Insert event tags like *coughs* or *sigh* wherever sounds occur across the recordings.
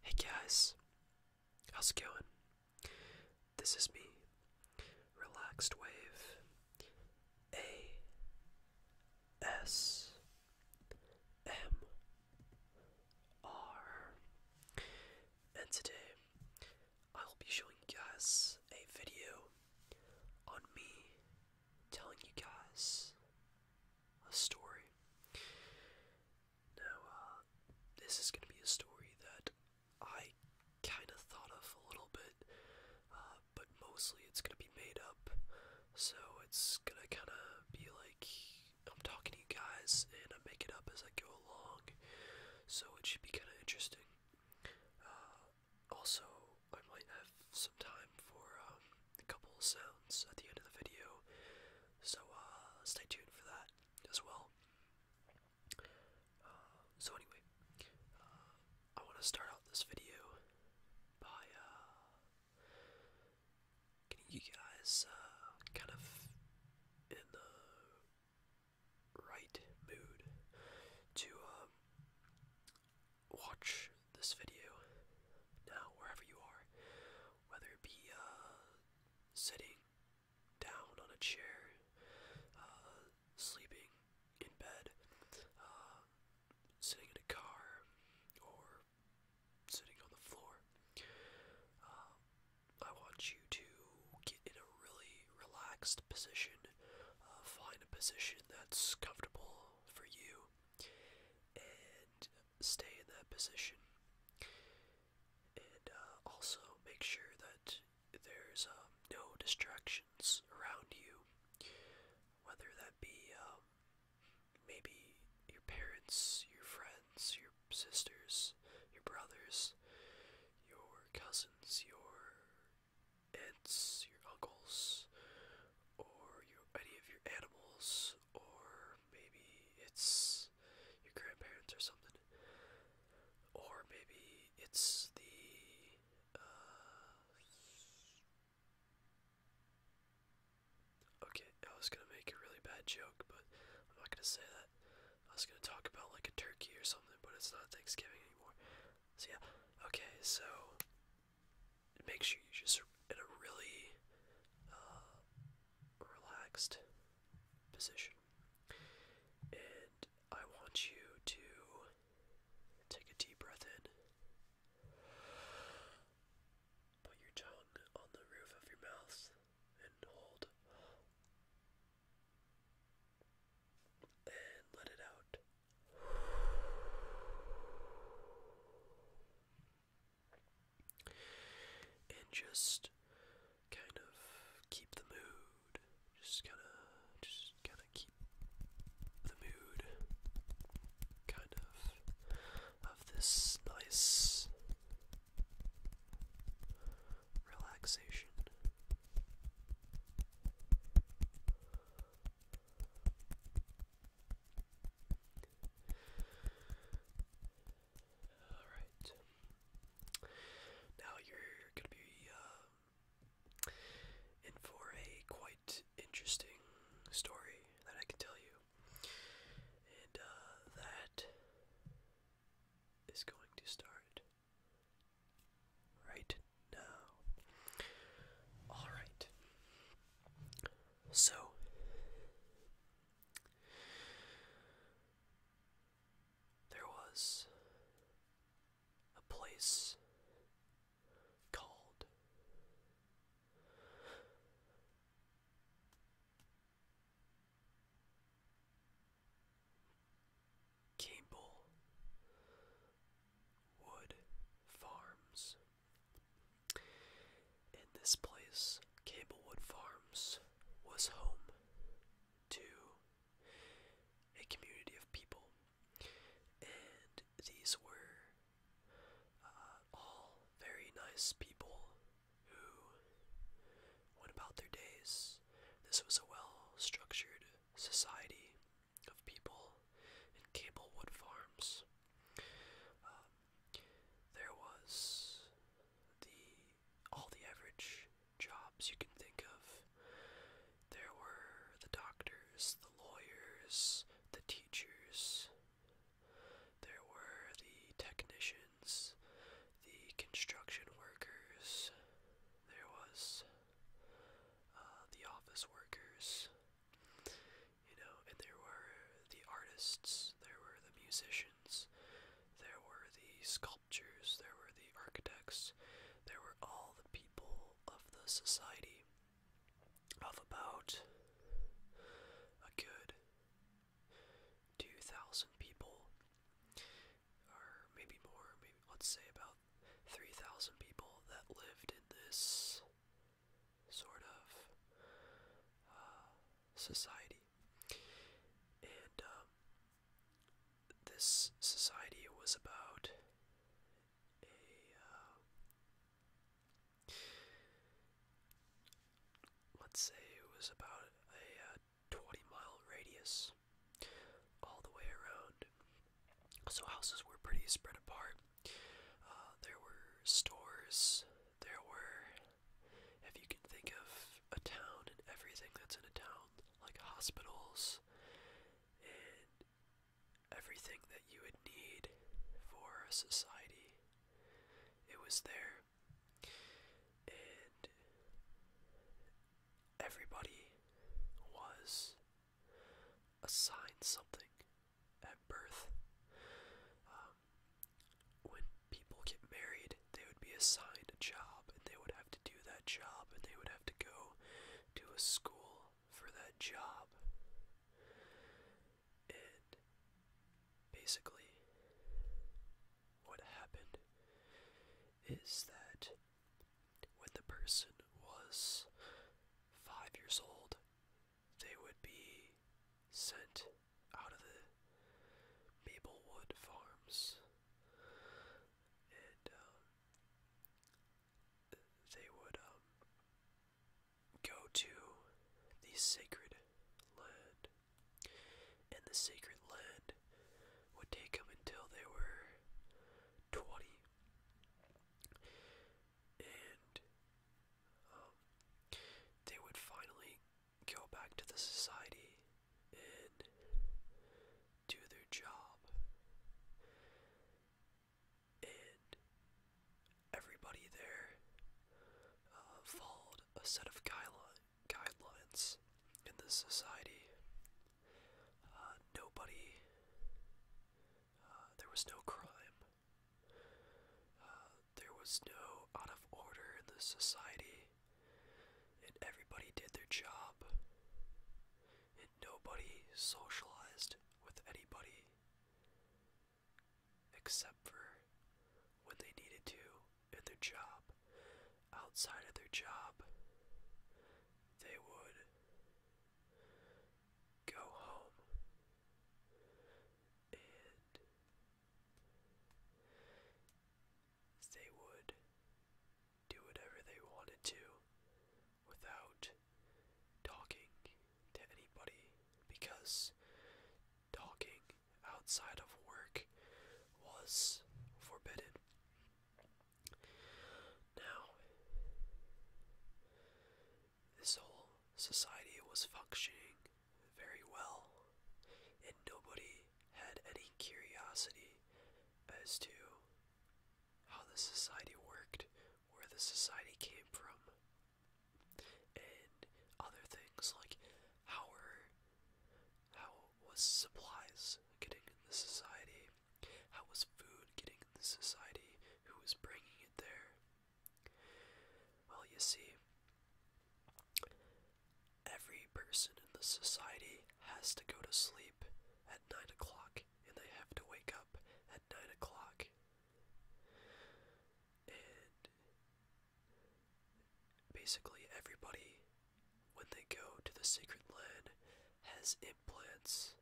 Hey guys, how's it going? This is me, Relaxed Wave A S M R, and today I will be showing you guys a video on me telling you guys a story. Now, uh, this is going to be a story that I kind of thought of a little bit, uh, but mostly it's going to be made up. So it's going to kind of be like I'm talking to you guys and I make it up as I go along. So it should be kind of interesting. Uh, also, I might have some time for um, a couple sounds at the end of the video. So uh, stay tuned for that as well. Uh, so anyway, uh, I want to start out this video by getting you guys kind of in the right mood to um, watch this video now wherever you are, whether it be sitting down on a chair, uh, sleeping in bed, uh, sitting in a car, or sitting on the floor. Uh, I want you to get in a really relaxed position, find a position that's comfortable for you, and stay in that position. And uh, also make sure that there's um, no distractions around you, whether that be um, maybe your parents, your friends, your sisters, your brothers, your cousins, your aunts, your uncles, or any of your animals, or maybe it's your grandparents or something, or maybe it's the. Uh, okay, I was gonna make a really bad joke, but I'm not gonna say that. I was gonna talk about like a turkey or something, but it's not Thanksgiving anymore. So yeah, okay, so make sure you just in a really uh, relaxed position. And I want you to take a deep breath in. Put your tongue on the roof of your mouth and hold. And let it out and just kind of keep the mood. Just kind of, just kind of keep the mood, kind of, of this nice relaxation. Alright. Now you're going to be um, in for a quite interesting story that I can tell you. And uh, that is going to start right now. Alright. So, there was a place called Cable Wood Farms in this place, Cablewood Farms was home to a community of people, and these were uh, all very nice people who went about their days. This was a well structured society of people in Cablewood Farms. Um, there was the all the average jobs you can think of. There were the doctors, the lawyers, the teachers. There were the technicians, the construction workers. There was uh, the office workers you know, and there were the artists, there were the musicians, there were the sculptors, there were the architects, there were all the people of the society of about a good 2,000 people, or maybe more, maybe let's say about 3,000 people that lived in this sort of uh, society. And um, this society was about a uh, let's say it was about a uh, 20 mile radius all the way around. So houses were pretty spread apart. there were stores, there were if you can think of a town and everything that's in a town, like hospitals and everything that you would need for a society, it was there. And everybody was assigned something at birth. Um, when people get married, they would be assigned a job and they would have to do that job and they would have to go to a school for that job. And basically, what happened is that when the person was five years old, they would be sent out of the Maplewood Farms, and um, they would um, go to the sacred land, and the sacred land would take them until they were twenty, and um, they would finally go back to the society and do their job. And everybody there uh, followed a set of guidelines in the society. Uh, nobody, uh, there was no crime. Uh, there was no out of order in the society, and everybody did their job, and nobody socialized with anybody except for when they needed to in their job. Outside of their job, they would go home and they would do whatever they wanted to without talking to anybody because talking outside of work was forbidden. Now, this whole society was functioning very well, and nobody had any curiosity as to how the society worked, where the society came from, and other things like how were, how was supplies getting in the society, how was food getting in the society, who was bringing it there, well, you see, every person in the society has to go to sleep at 9 o'clock, and they have to wake up at 9 o'clock. And basically, everybody, when they go to the Sacred Land, has implants,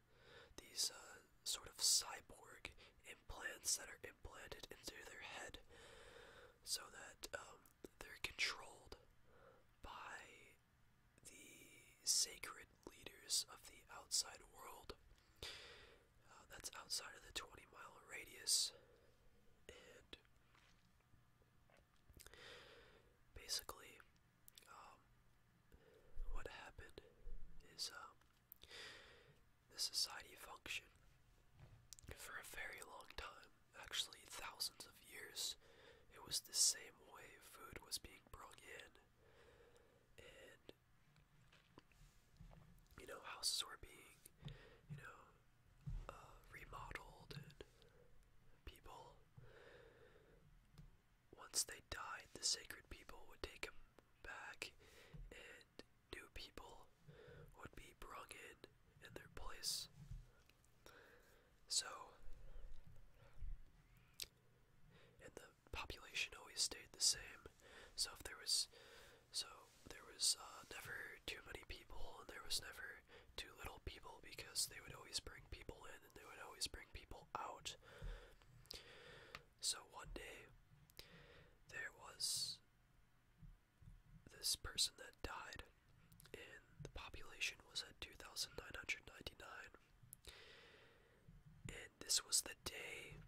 these uh, sort of cyborg implants that are implanted into their head so that um, they're controlled by the sacred leaders of the outside world. Uh, that's outside of the 20 mile radius. And basically, um, what happened is um, the society functioned for a very long time, actually thousands of years. It was the same way food was being brought in, and you know houses were being, you know, uh, remodeled, and people. Once they died, the sacred people would take them back and new people would be brung in in their place. So, and the population always stayed the same. So if there was, so there was uh, never too many people, and there was never too little people because they would always bring people in and they would always bring people out. So one day, there was this person that died and the population was at 2,999. And this was the day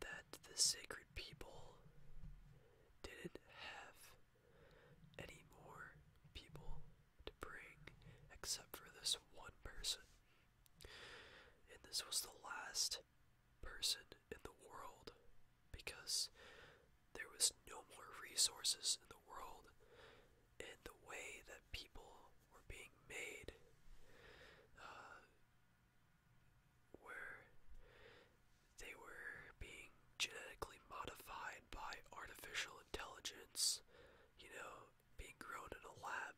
that the sacred people didn't have any more people to bring except for this one person. And this was the last person in the world because there was no more resources in the world and the way that people were being made uh, where they were being genetically modified by artificial intelligence you know being grown in a lab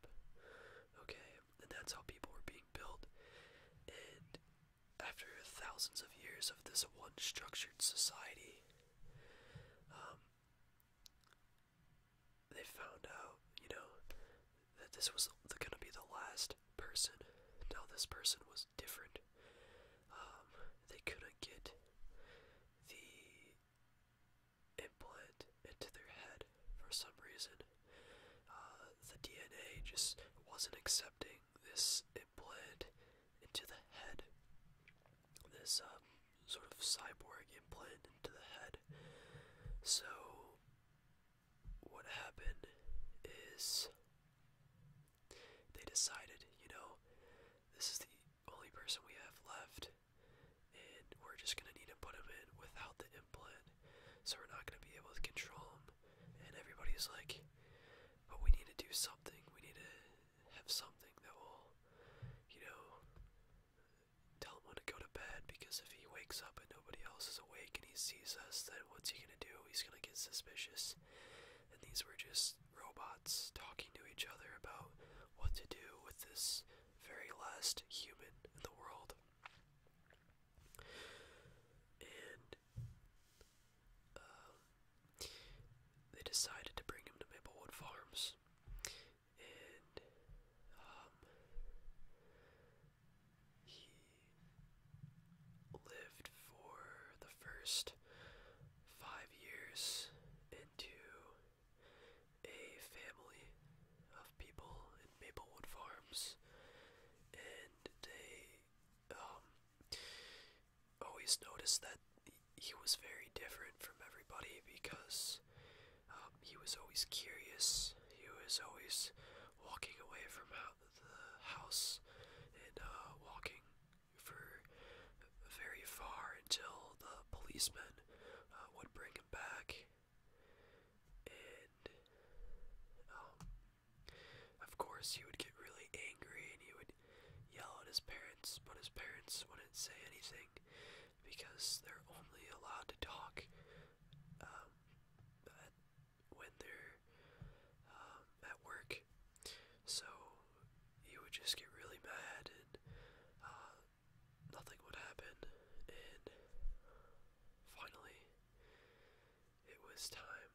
okay and that's how people were being built. And after thousands of years of this one structured society, um, they found out, you know, that this was going to be the last person. Now, this person was different. Um, they couldn't get the implant into their head for some reason. Uh, the DNA just wasn't accepting this implant into the head. This um, sort of cyborg implant into the head. So, what happened is they decided, you know, this is the only person we have left, and we're just gonna need to put him in without the implant. So, we're not gonna be able to control him and everybody's like, but we need to do something. We need to have something that will, you know, tell him to go to bed because if he wakes up and nobody else is awake and he sees us, then what's he gonna do? He's gonna get suspicious. And these were just robots talking to each other about what to do with this very last human in the world and um, they decided to bring him to Maplewood Farms, and um, he lived for the first five years into a family of people in Maplewood Farms, and they um, always noticed that he was very different from everybody because um, he was always curious. He was always walking away from the house and uh, walking for very far until the policeman uh, would bring him back and um, of course he would get really angry and he would yell at his parents, but his parents wouldn't say anything because they're only allowed to talk um, at, when they're um, at work. So he would just get really mad and uh, nothing would happen. And finally, it was time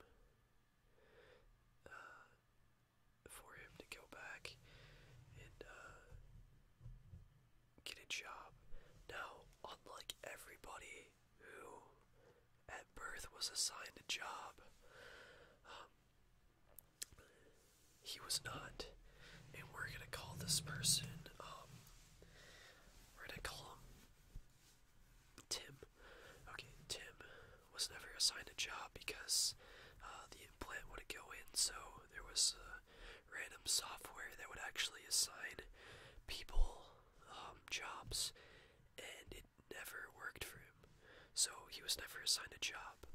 uh, for him to go back and uh, get a job. Now, unlike everybody who at birth was assigned a job, um, he was not. And we're gonna call this person, um, we're gonna call him Tim. Okay, Tim was never assigned a job because uh, the implant wouldn't go in, so there was uh, random software that would actually assign people um, jobs, and it never worked for him. So he was never assigned a job.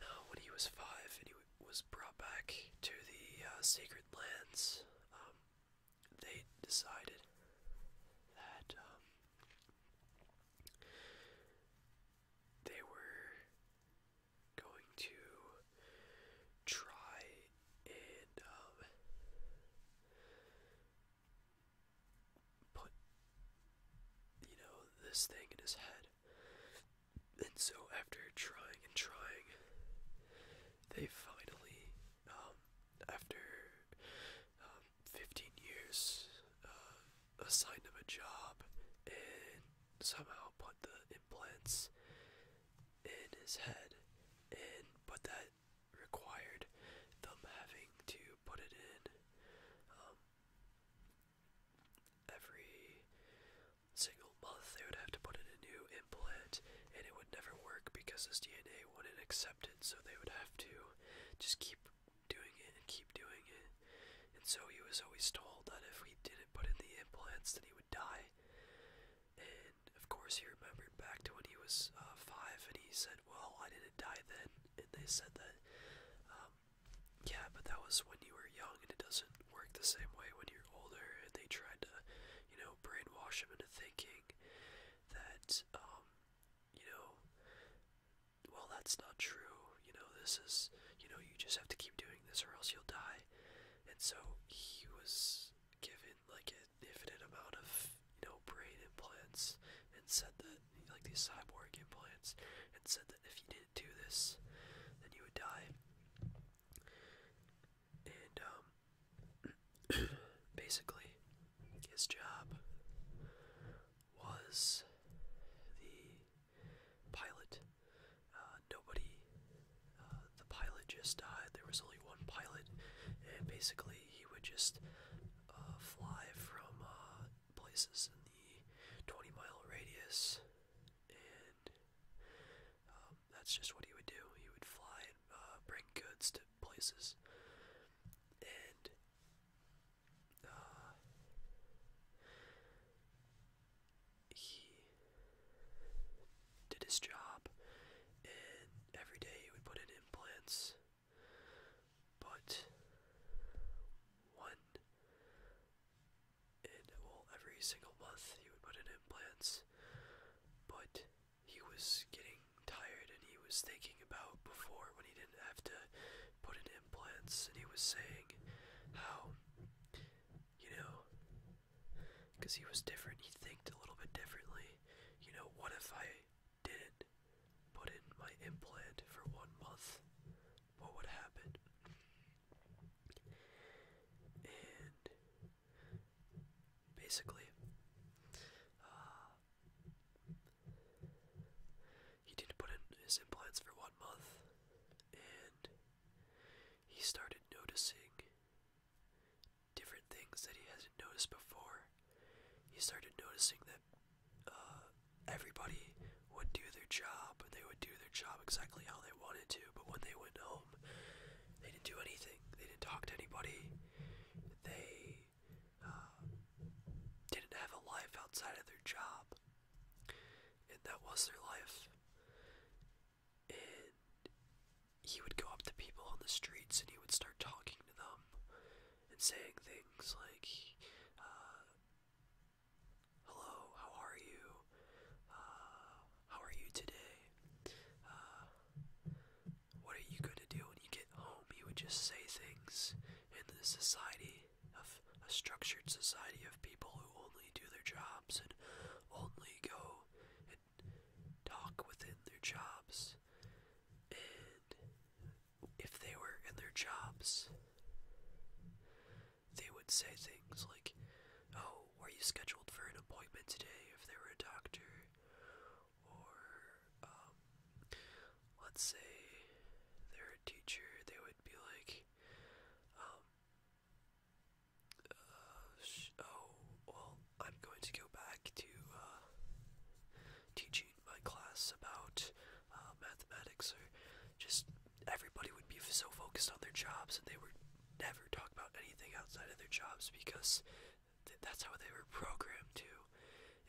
Now, when he was five and he was brought back to the uh, sacred lands, um, they decided that um, they were going to try and um, put you know this thing in his head and so after trying and trying they finally, um, after um, 15 years, uh, assigned him a job and somehow put the implants in his head. And but that required them having to put it in um, every single month they would have to put in a new implant and it would never work because his DNA wouldn't accept it, so they would have to just keep doing it and keep doing it. And so he was always told that if he didn't put in the implants, then he would die. And of course, he remembered back to when he was uh, five, and he said, "Well, I didn't die then." And they said that, um, "Yeah, but that was when you were young, and it doesn't work the same way when you're older." And they tried to, you know, brainwash him into thinking that, um, you know, well, that's not true. You know, this is, you know, you just have to keep doing this or else you'll die. And so he was given like an infinite amount of, you know, brain implants and said that, like these cyborg implants, and said that if you didn't do this, then you would die and um, *clears throat* basically his job was the pilot. Uh, nobody, uh, the pilot just died. There was only one pilot, and basically he would just uh, fly from places in the 20 mile radius um, that's just what he would do. He would fly and uh, bring goods to places. And uh, he did his job, and every day he would put in implants. But one, and every single month he would put in implants. But he was getting tired and he was thinking about before when he didn't have to put in implants and he was saying how you know because he was different he thinked a little bit differently you know what if i did put in my implant for one month what would happen basically. Uh, he didn't put in his implants for one month, and he started noticing different things that he hasn't noticed before. He started noticing that uh, everybody would do their job, and they would do their job exactly how they wanted to, but when they went home, they didn't do anything. They didn't talk to anybody. They uh, didn't have a life outside of their job, and that was their life. And he would go up to people on the streets and he would start talking to them and saying things like, uh, "Hello, how are you? Uh, how are you today? What are you going to do when you get home? You would just say things in the society of a structured society of people who only do their jobs and only go and talk within their jobs. And if they were in their jobs, they would say things like, oh, were you scheduled for an appointment today if they were a doctor? Or, um, let's say they're a teacher, they would be like, um, uh, oh, well, I'm going to go back to, uh, teaching my class about uh, mathematics or just everybody would be so focused on their jobs and they were never talk about anything outside of their jobs because th that's how they were programmed to.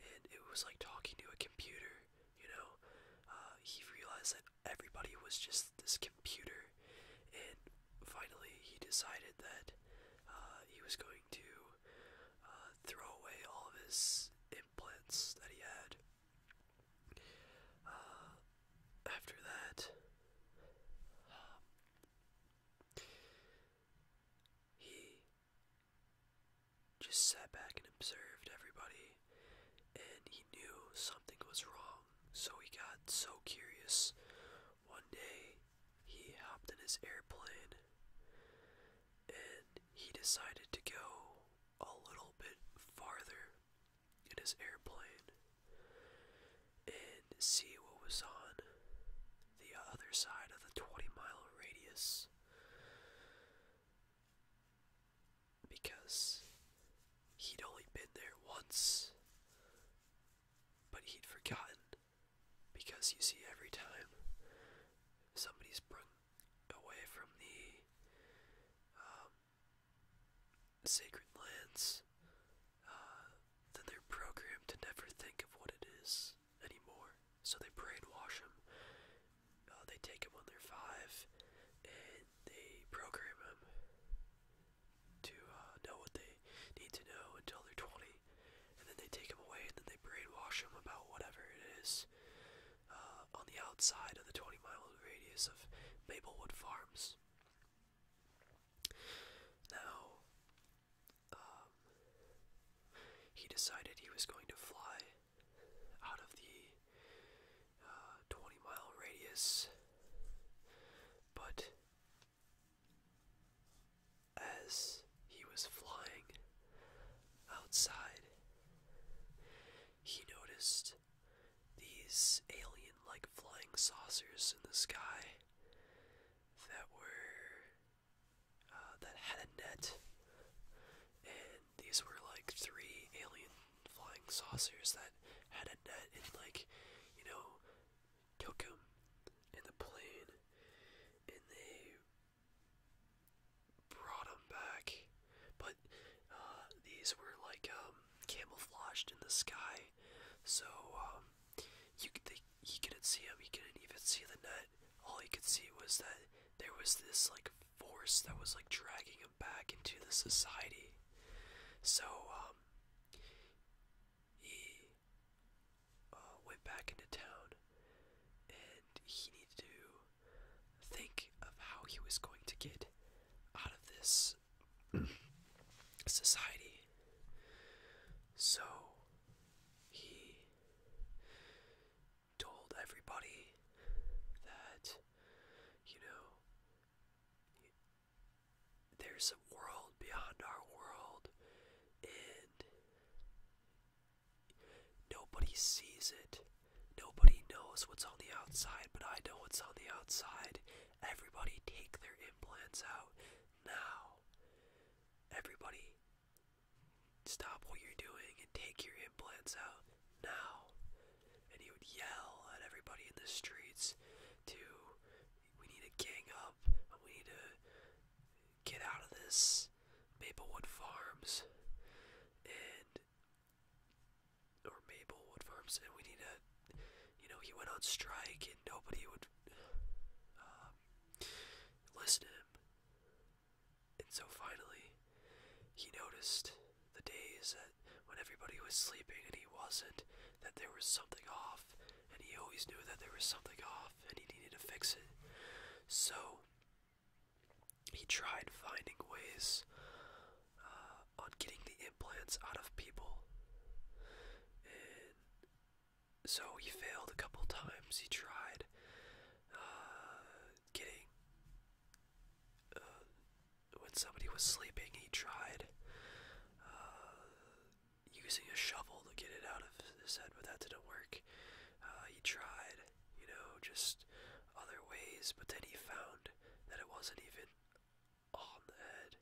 And it was like talking to a computer, you know. Uh, he realized that everybody was just this computer, and finally he decided that uh, he was going to uh, throw away all of his implants that he had. Uh, after that, um, he just sat back and observed everybody, and he knew something was wrong, so he got so curious. One day, he hopped in his airplane and he decided to go a little bit farther in his airplane and see what was on the other side of the 20 mile radius because he'd only been there once but he'd forgotten because you see every time somebody's sprung away from the um, sacred lands, uh, then they're programmed to never think of what it is anymore. So they brainwash them. Uh, they take them when they're five, and they program them to uh, know what they need to know until they're 20, and then they take them away and then they brainwash them about whatever it is on the outside of the 20 mile radius of Maplewood Farms. Now, um, he decided he was going to fly out of the uh, 20 mile radius, but as he was flying outside, he noticed these alien like flying saucers in the sky that were uh, that had a net, and these were like three alien flying saucers that had a net and like you know took him in the plane, and they brought him back. But uh, these were like um, camouflaged in the sky, so um, he couldn't see him. He couldn't even see the net. All he could see was that there was this like force that was like dragging him back into the society. So um, he uh, went back into town, and he needed to think of how he was going to get out of this society. So he told everybody that, you know, there's a world beyond our world, and nobody sees it. Nobody knows what's on the outside, but I know what's on the outside, Everybody take their implants out now. Everybody stop what you're doing and take your implants out now. And he would yell at everybody in the streets to we need to gang up and we need to get out of this Maplewood Farms and or Maplewood Farms and we need to you know, he went on strike and nobody would um, listen to him. And so finally, he noticed the days that when everybody was sleeping and he wasn't, that there was something off, and he always knew that there was something off and he needed to fix it. So, he tried finding ways uh, on getting the implants out of people. And so he failed a couple times. He tried uh, getting. Uh, when somebody was sleeping, he tried uh, using a shovel to get it out of his head, but that didn't work. Uh, he tried, you know, just other ways, but then he found that it wasn't even on the head,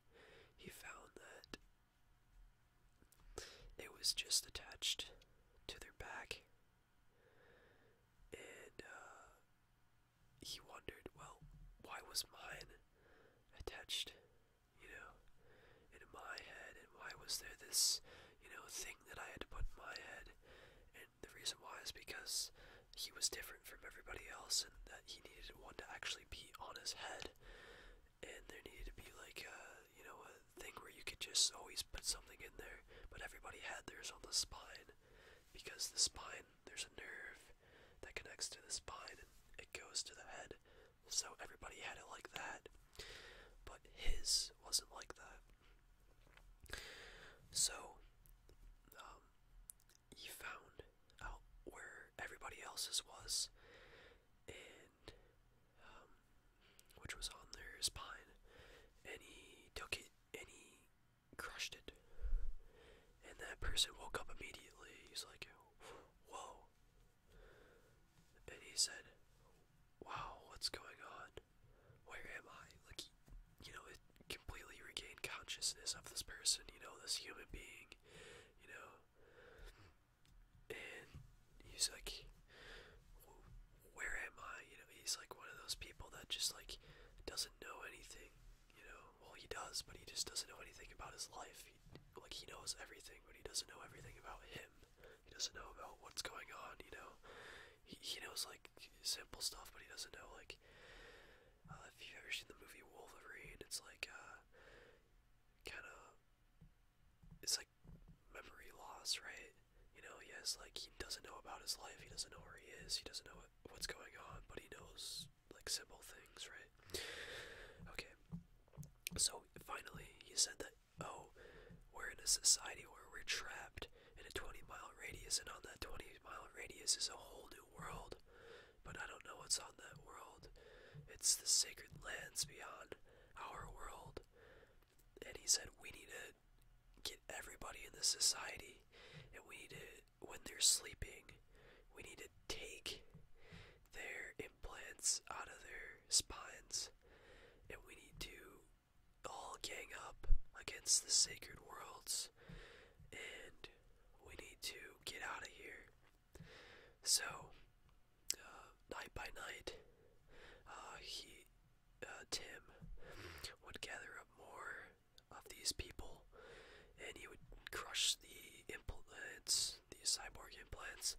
he found that it was just attached to their back. And uh, he wondered, well, why was mine attached, you know, in my head? And why was there this, you know, thing that I had to put in my head? And the reason why is because he was different from everybody else and that he needed one to actually be on his head bed, and there needed to be like a uh, you know a thing where you could just always put something in there. But everybody had theirs on the spine, because the spine there's a nerve that connects to the spine and it goes to the head. So everybody had it like that, but his wasn't like that. So, um, he found out where everybody else's was, and um, which was on their spine, and he took it and he crushed it. And that person woke up immediately. He's like, "Whoa!" And he said, "Wow, what's going on? Where am I?" Like, you know, it completely regained consciousness of this person. You know, this human being. You know, and he's like, "Where am I?" You know, he's like one of those people that just like doesn't know anything. You know, well he does, but he just doesn't know anything about his life. He, like he knows everything, but he doesn't know everything about him. He doesn't know about what's going on. You know, he he knows like simple stuff, but he doesn't know like uh, if you've ever seen the movie Wolverine, it's like uh, kind of it's like memory loss, right? You know, he has like he doesn't know about his life, he doesn't know where he is, he doesn't know what, what's going on, but he knows like simple things, right? Okay. So finally, he said that oh, we're in a society where we're trapped in a 20 mile radius, and on that 20 mile radius is a whole new world, but I don't know what's on that world. It's the sacred lands beyond our world. And he said, We need to get everybody in the society, and we need to, when they're sleeping, we need to take their implants out of their spines, and we need to all gang up against the sacred worlds, and we need to get out of here. So, uh, night by night, uh, he, uh, Tim, would gather up more of these people, and he would crush the implants, the cyborg implants,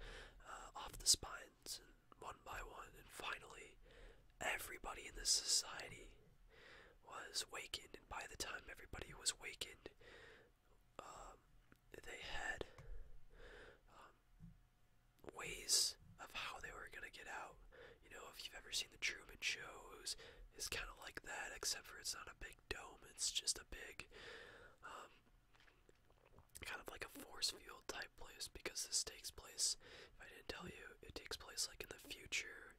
off the spines, and one by one, and finally, everybody in this society was wakened, and by the time everybody was wakened, um, they had um, ways of how they were gonna get out. You know, if you've ever seen the Truman Show, it was, it's kind of like that, except for it's not a big dome. It's just a big, um, kind of like a force field type place. Because this takes place, if I didn't tell you, it takes place like in the future.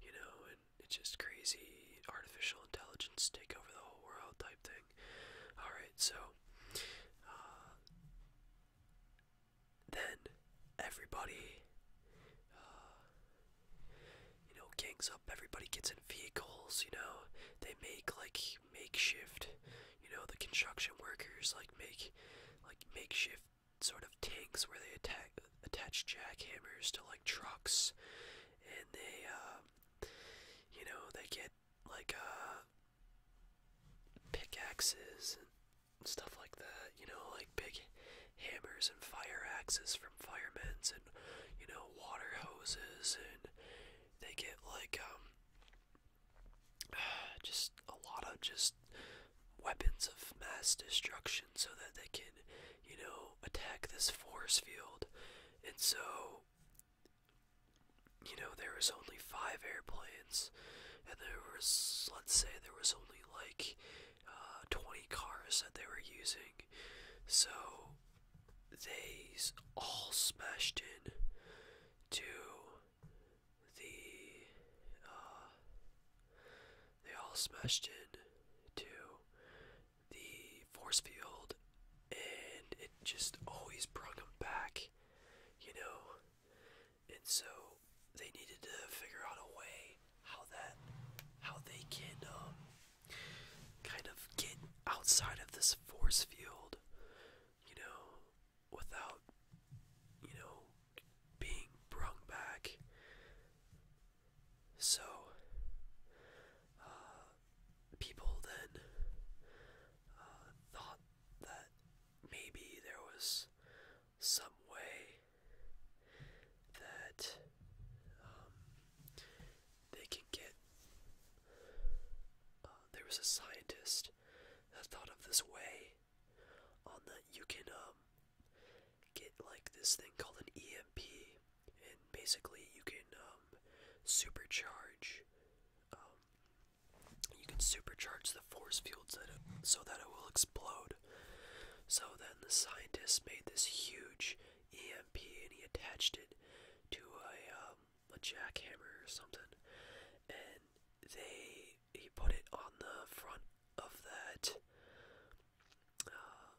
You know, and it's just crazy artificial intelligence take over the whole world type thing. Alright, so uh, then everybody, uh, you know, gangs up, everybody gets in vehicles, you know, they make like makeshift, you know, the construction workers like make like makeshift sort of tanks where they attack attach jackhammers to like trucks, and they, uh, you know, they get like uh, pickaxes and stuff like that. You know, like big hammers and fire axes from firemen's, and you know, water hoses, and they get like um, *sighs* just a lot of just weapons of mass destruction so that they can you know, attack this force field. And so, you know, there was only five airplanes, and there was, let's say, there was only like uh, 20 cars that they were using. So, they all smashed in to the, uh, they all smashed in to the force field and it just always brought them back, you know. And so they needed to figure out a way how that how they can um kind of get outside of this force field, you know, without you know being brung back so, uh, people then uh, thought that maybe there was some way that um, they can get. Uh, there was a scientist that thought of this way on that you can um, get like this thing called an EMP, and basically you can um, supercharge. Um, you can supercharge the force fields so that it will explode. So then the scientists made this huge EMP and he attached it to a um, a jackhammer or something, and they he put it on the front of that uh,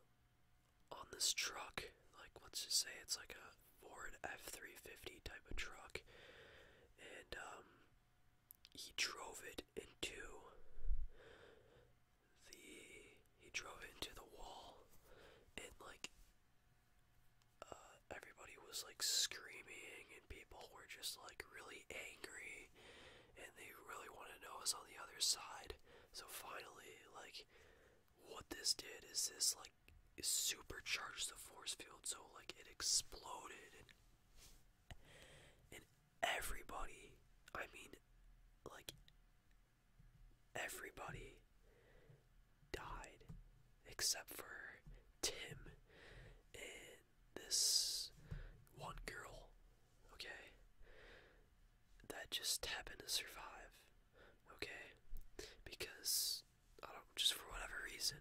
on this truck. Like, let's just say it's like a Ford F350 type of truck. And um, he drove it into the he drove it into the wall and like uh, everybody was like screaming and people were just like really angry and they really wanted to know us on the other side so finally like what this did is this like supercharged the force field so like it exploded and everybody I mean like everybody died except for Tim and this one girl okay that just happened to survive, okay? Because I don't just for whatever reason,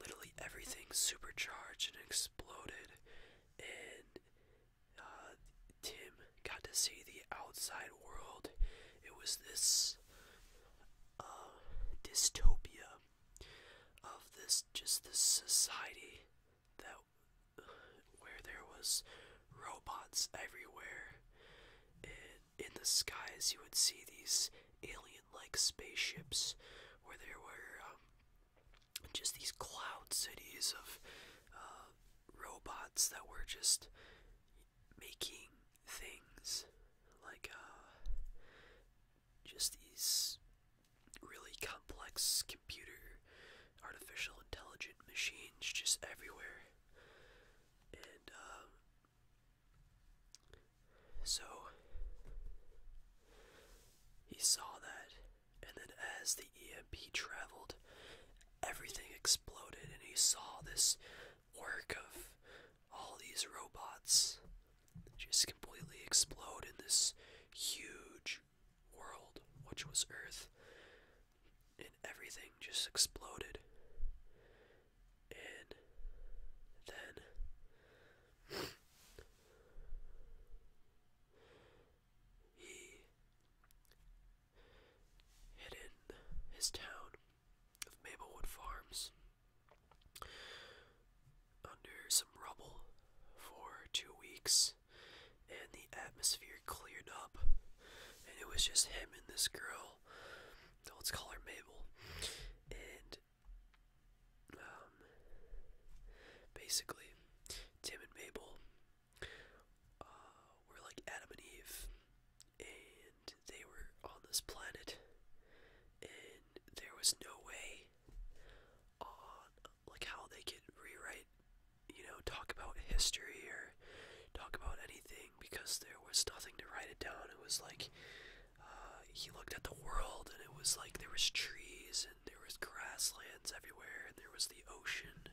literally everything supercharged and exploded, and uh, Tim got to see the outside world. It was this uh, dystopia of this just this society that where there was robots everywhere. And in the skies, you would see these alien-like spaceships, where there were um, just these cloud cities of uh, robots that were just making things like uh, just these really complex computer artificial intelligent machines just everywhere. And, um, so he saw that, and then as the EMP traveled, everything exploded, and he saw this work of all these robots just completely explode in this huge world, which was Earth, and everything just exploded. And then he hid in his town of Maplewood Farms under some rubble for two weeks and the atmosphere cleared up. And it was just him and this girl. Let's call her Mabel. And um, basically, Tim and Mabel uh, were like Adam and Eve, and they were on this planet, and there was no way on like how they could rewrite you know, talk about history or talk about anything because there was nothing to write it down. It was like uh, he looked at the world and it was like there was trees and there was grasslands everywhere and there was the ocean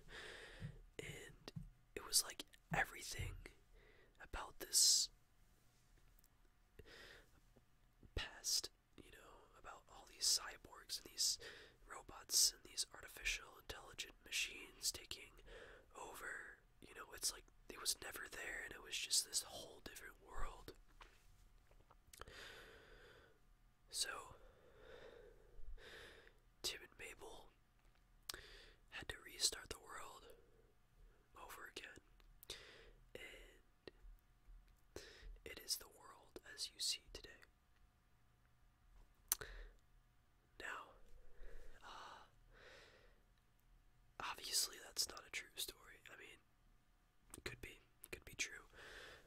and it was like everything about this past, you know, about all these cyborgs and these robots and these artificial intelligent machines taking over. You know, it's like it was never there, and it was just this whole different world. So, Tim and Mabel had to restart the world over again. And it is the world as you see today. Now, uh, obviously that's not a true story. I mean, it could be, it could be true.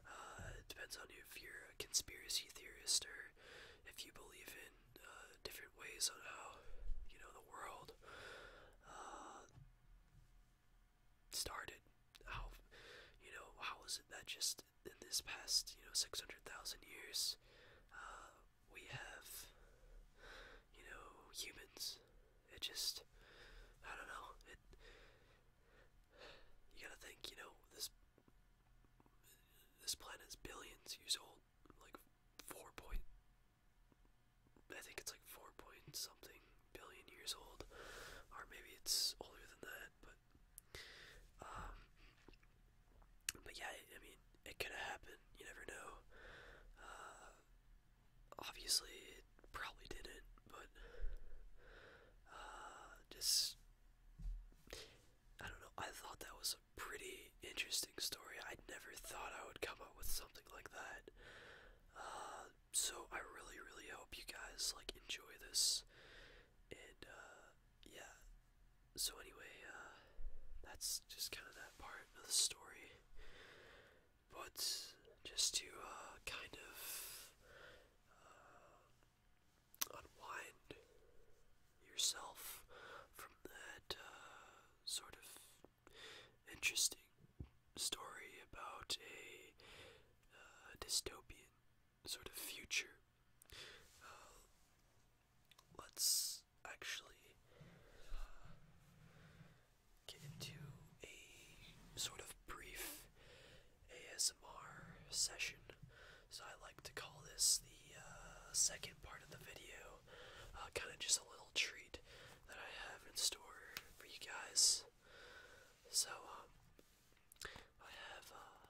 Uh, it depends on you. if you're a conspiracy theorist or if you believe in uh, different ways on how you know the world uh, started. How you know how was it that just in this past you know 600,000 years uh, we have you know humans it just I don't know you gotta think you know this this is billions years old like four point I think it's like four point something billion years old or maybe it's older than that um, but yeah, I mean, it could have happened. You never know. Uh, obviously, it probably didn't, but uh, just I don't know. I thought that was a pretty interesting story. I never thought I would come up with something like that. Uh, so I really, really hope you guys like enjoy this, and yeah. So anyway, uh, that's just kind of that part of the story. But just to uh, kind of uh, unwind yourself from that sort of interesting story about a dystopian sort of future. Uh, let's actually uh, get into a sort of brief ASMR session. So I like to call this the uh, second part of the video, kind of just a little treat that I have in store for you guys. So um, I have, uh,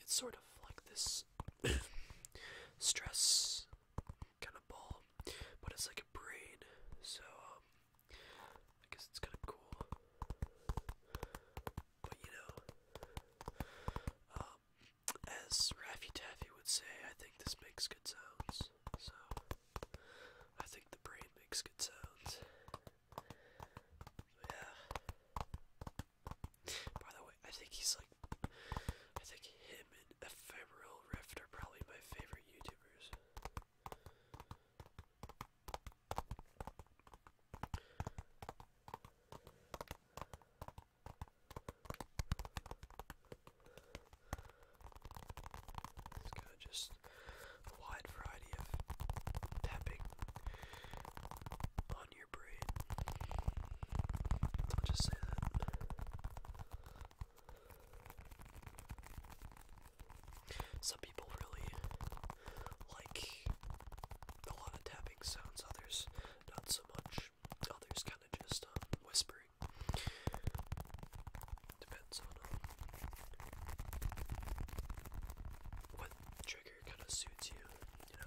it's sort of like this *coughs* stress kind of ball, but it's like a brain, so, um, I guess it's kind of cool. But you know, um, as Raffy Taffy would say, I think this makes good sounds. So, I think the brain makes good sounds yeah. By the way, I think he's like, I think him and Ephemeral Rift are probably my favorite YouTubers. It's kind just the wide variety of tapping on your brain. I'll just say that. Some people really like a lot of tapping sounds, others not so much. Others kind of just um, whispering. Depends on um, what trick kind of suits you, you know.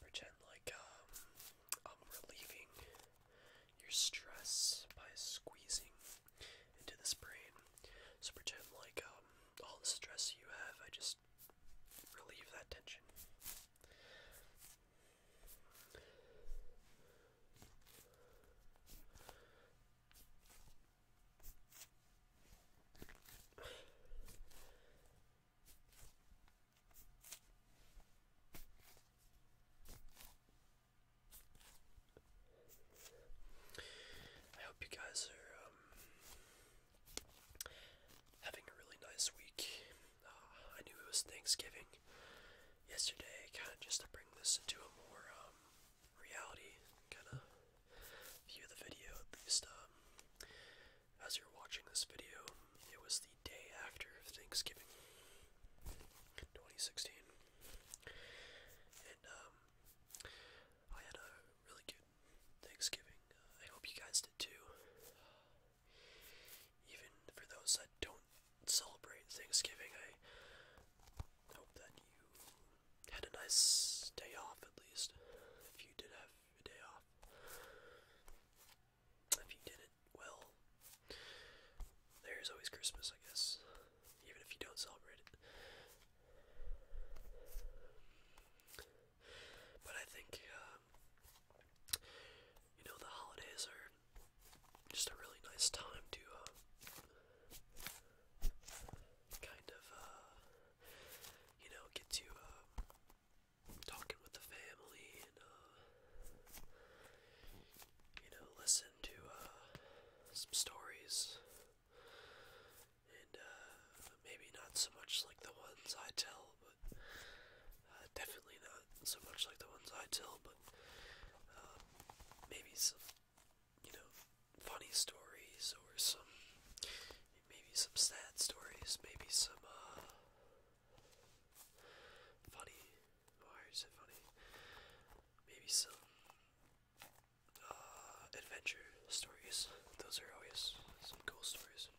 Pretend like um, I'm relieving your stress by squeezing into this brain. So pretend like um, all the stress you have, I just relieve that tension. I hope you guys are um, having a really nice week. Uh, I knew it was Thanksgiving yesterday, kind of just to bring this into a more um, reality kind of view of the video, at as you're watching this video, it was the day after Thanksgiving 2016. And um, I had a really good Thanksgiving. I hope you guys did too. Even for those that don't celebrate Thanksgiving, I hope that you had a nice day off at least. If you did have a day off. If you did it well, there's always Christmas, I guess, even if you don't celebrate it. But I think, um, you know, the holidays are just a really nice time to uh, kind of, uh, you know, get to uh, talking with the family and uh, you know listen to uh, some stories and uh, maybe not so much like the ones I tell but uh, definitely not so much like the ones I tell but uh, maybe some you know funny stories or some maybe some sad stories maybe some uh funny. Why is it funny? Maybe some uh, adventure stories. Those are always some cool stories.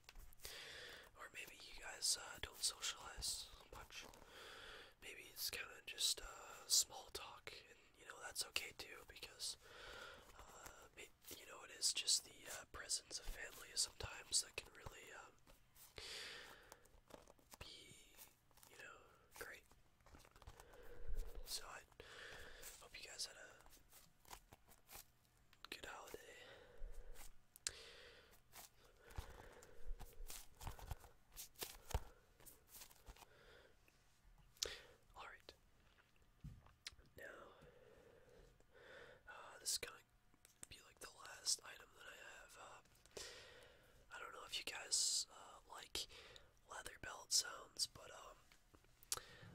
Or maybe you guys uh, don't socialize much. Maybe it's kind of just uh, small talk, and you know that's okay too because uh, you know, it is just the uh, presence of family sometimes that can really um, be, you know, great. So I hope you guys had a good holiday. All right. Now, uh, this is kind gonna be like the last item that I have. Uh, I don't know if you guys uh, like leather belt sounds, but um,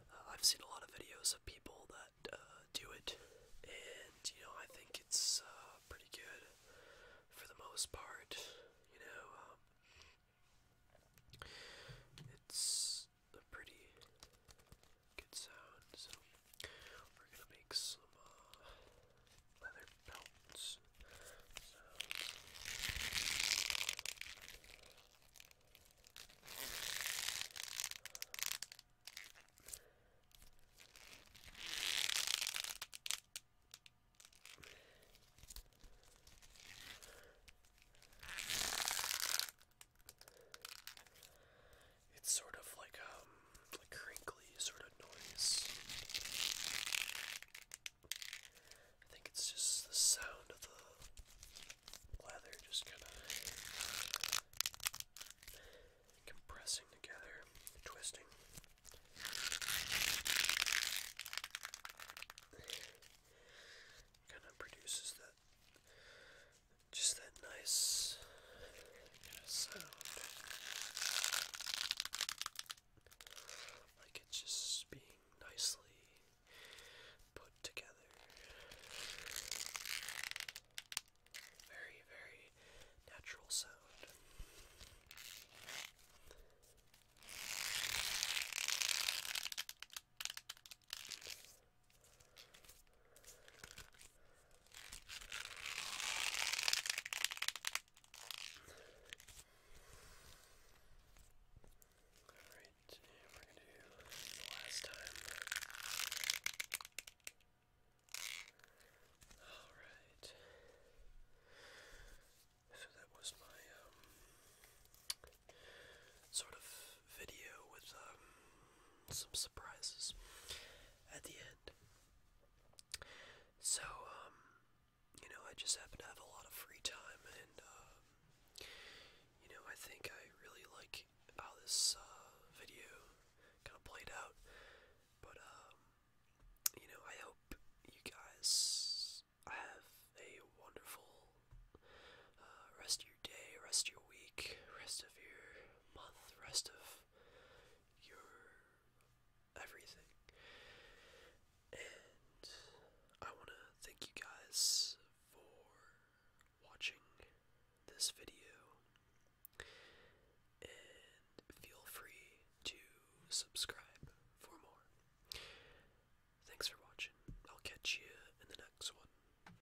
uh, I've seen a lot of videos of people that uh, do it, and you know I think it's uh, pretty good for the most part. You know, um, it's a pretty good sound, so we're gonna make some uh, leather belts it's sort of like um, a crinkly sort of noise. I think it's just the sound of the leather just kind of compressing together, twisting. Kind of produces the just that nice sound. Like it's just being nicely put together. Very, very natural sound. Alright, and we're going to do the last time. Alright. So that was my um, sort of video with um, some surprises at the end. So, um, you know, I just happen to have a lot of free time, and, uh, you know, I think I really like how this uh, video kind of played out. But, um, you know, I hope you guys have a wonderful uh, rest of your day, rest of your week, rest of your month, rest of your everything. And I want to thank you guys for watching this video. And feel free to subscribe for more. Thanks for watching. I'll catch you in the next one.